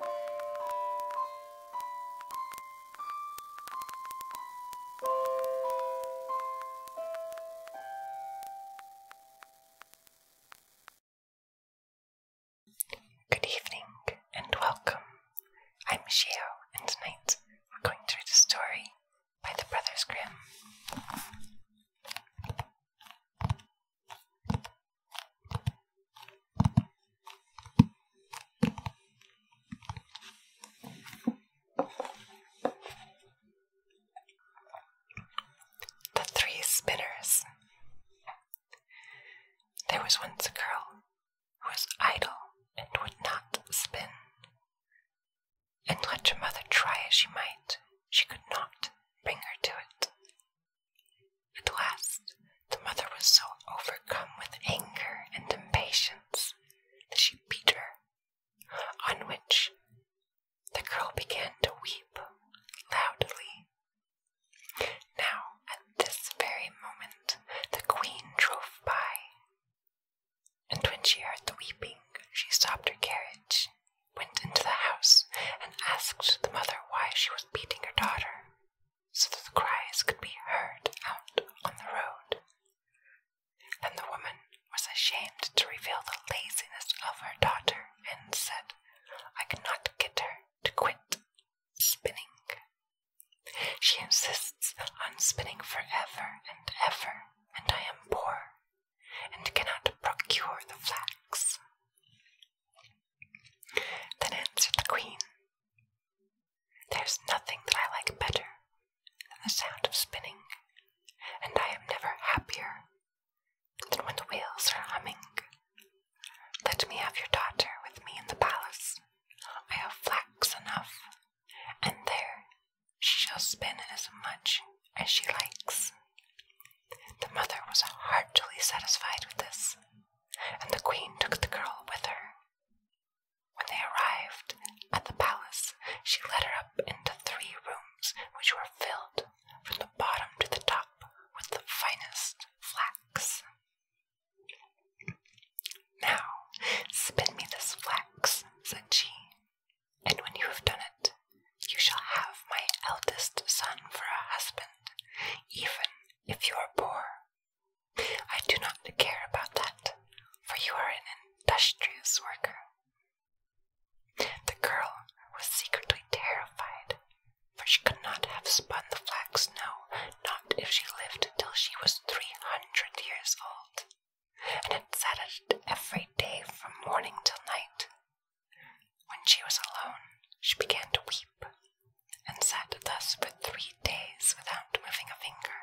Good evening and welcome. I'm Shio, and tonight we're going to read a story by the Brothers Grimm. The Three Spinners. There was once a girl who was idle and would not spin. And let your mother try as she might, she could not bring her to it. At last, the mother was so overcome with anger and impatience that she beat her, on which the girl began to weep loudly. Now, at this very moment, the queen drove by, and when she heard the weeping, she stopped her carriage went into the house and asked the mother why she was beating her daughter, so that the cries could be heard out on the road. Then the woman was ashamed to reveal the laziness of her daughter and said, I cannot get her to quit spinning. She insists on spinning forever and ever, and I am poor and cannot procure the flax. Then answered the queen, There is nothing that I like better than the sound of spinning, and I am never happier than when the wheels are humming. Let me have your daughter with me in the palace. I have flax enough, and there she shall spin as much as she likes. The mother was heartily satisfied with this, and the queen took the girl with her. When they arrived at the palace, she led her up into three rooms which were filled from the bottom to the top with the finest flax. Now, spin me this flax, said she, and when you have done it, you shall have my eldest son for a husband, even if you are poor. I do not care about that, for you are an industrious worker. The girl was secretly terrified, for she could not have spun the flax, now, not if she lived till she was three hundred years old and had sat at it every day from morning till night. When she was alone, she began to weep, and sat thus for three days without moving a finger.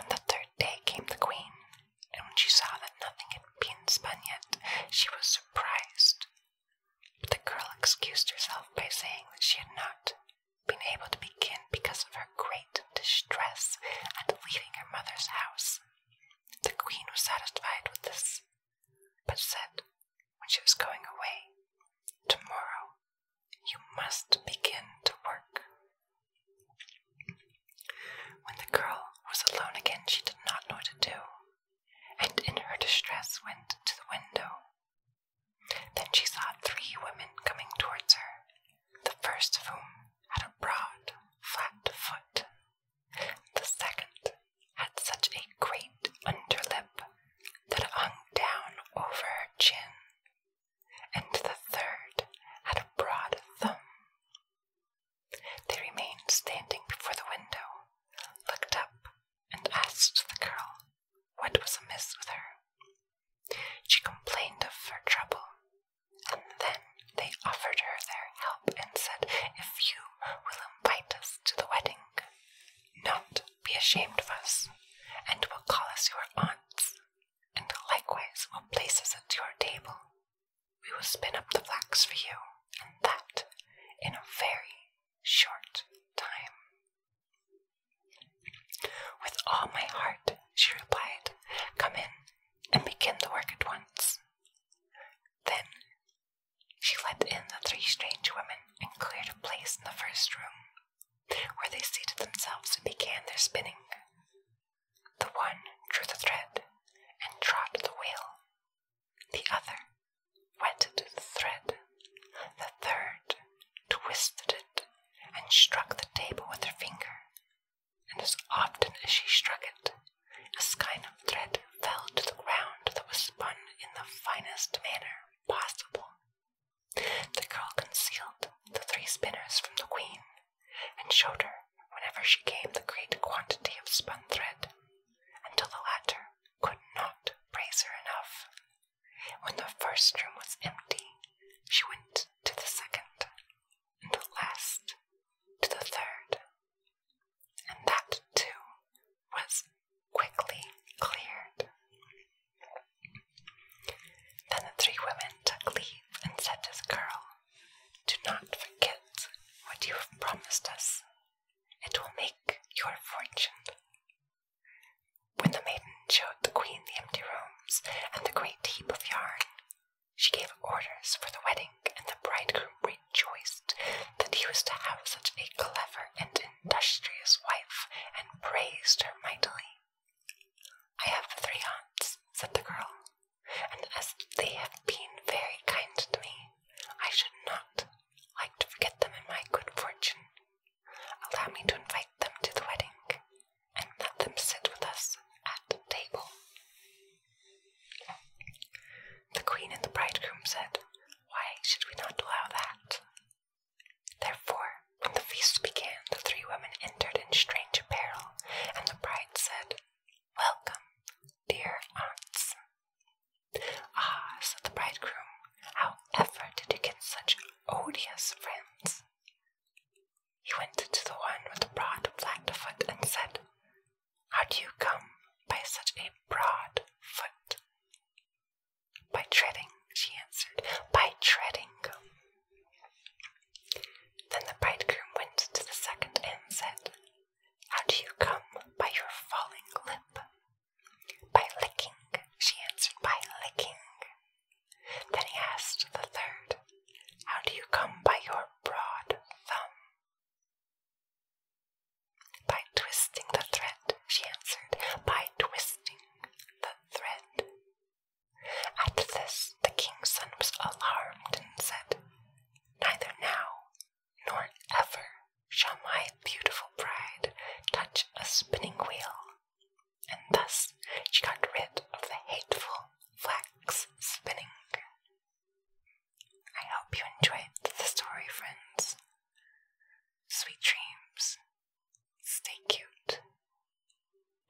On the third day came the queen, and when she saw that nothing had been spun yet, she was surprised. But the girl excused herself by saying that she had not been able to begin because of her great distress and leaving her mother's house. The queen was satisfied with this, but said, when she was going away, Tomorrow you must begin to work. When the girl was alone again, she did not know what to do, and in her distress went to the window. Then she saw three women coming towards her, the first of whom had a broad, flat foot, the second had such a great underlip that hung down over her chin, and the third had a broad thumb. They remained standing before the window, looked up, and asked the girl what was amiss with her. She complained of her trouble, and then they offered her their help and said, If you will invite us to the wedding, not be ashamed of us, and will call us your aunts, and likewise will place us at your table, we will spin up the flax for you, and that in a very short time. With all my heart, she replied. Come in and begin the work at once. Then she led in the three strange women and cleared a place in the first room, where they seated themselves and began their spinning. The one drew the thread and trod the wheel. The other wet the thread. The third twisted it and struck the table with her finger, and as often as she struck it, a skein of thread fell to the ground that was spun in the finest manner possible. The girl concealed the three spinners from the queen, and showed her whenever she came the great quantity of spun thread, until the latter could not praise her enough. When the first room was empty, she went to the second, and at last to the third, and that too was quickly cleared. Then the three women took leave and said to the girl, Do not forget what you have promised us. It will make your fortune. When the maiden showed the queen the empty rooms and the great heap of yarn, she gave orders for the wedding, and the bridegroom rejoiced that he was to have such a clever and industrious wife, and praised her mightily. I have three aunts, said the girl, and as they have been very kind to me, I should not like to forget them in my good fortune. Allow me to invite them to the wedding and let them sit with us at table. The queen and the bridegroom said, Why should we not allow that? Therefore, when the feast began, the three women entered in strange apparel, and the bride said, Welcome, dear aunts. Ah, said the bridegroom, "How ever did you get such odious friends? He went to the one with the broad flat foot and said, How do you come by such a broad foot? By treading, she answered, by treading. Then the bridegroom went to the second and said, How do you come by your falling lip? By licking, she answered by licking. Then he asked the third, How do you come by your broad thumb? By twisting the thread, she answered, by twisting the thread. At this, the king's son was alarmed and said, Neither now nor ever shall my beautiful bride touch a spinning wheel. And thus she got rid of the hateful flax spinning. I hope you enjoyed the story, friends. Sweet dreams. Stay cute.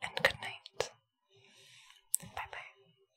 And good night. Bye bye.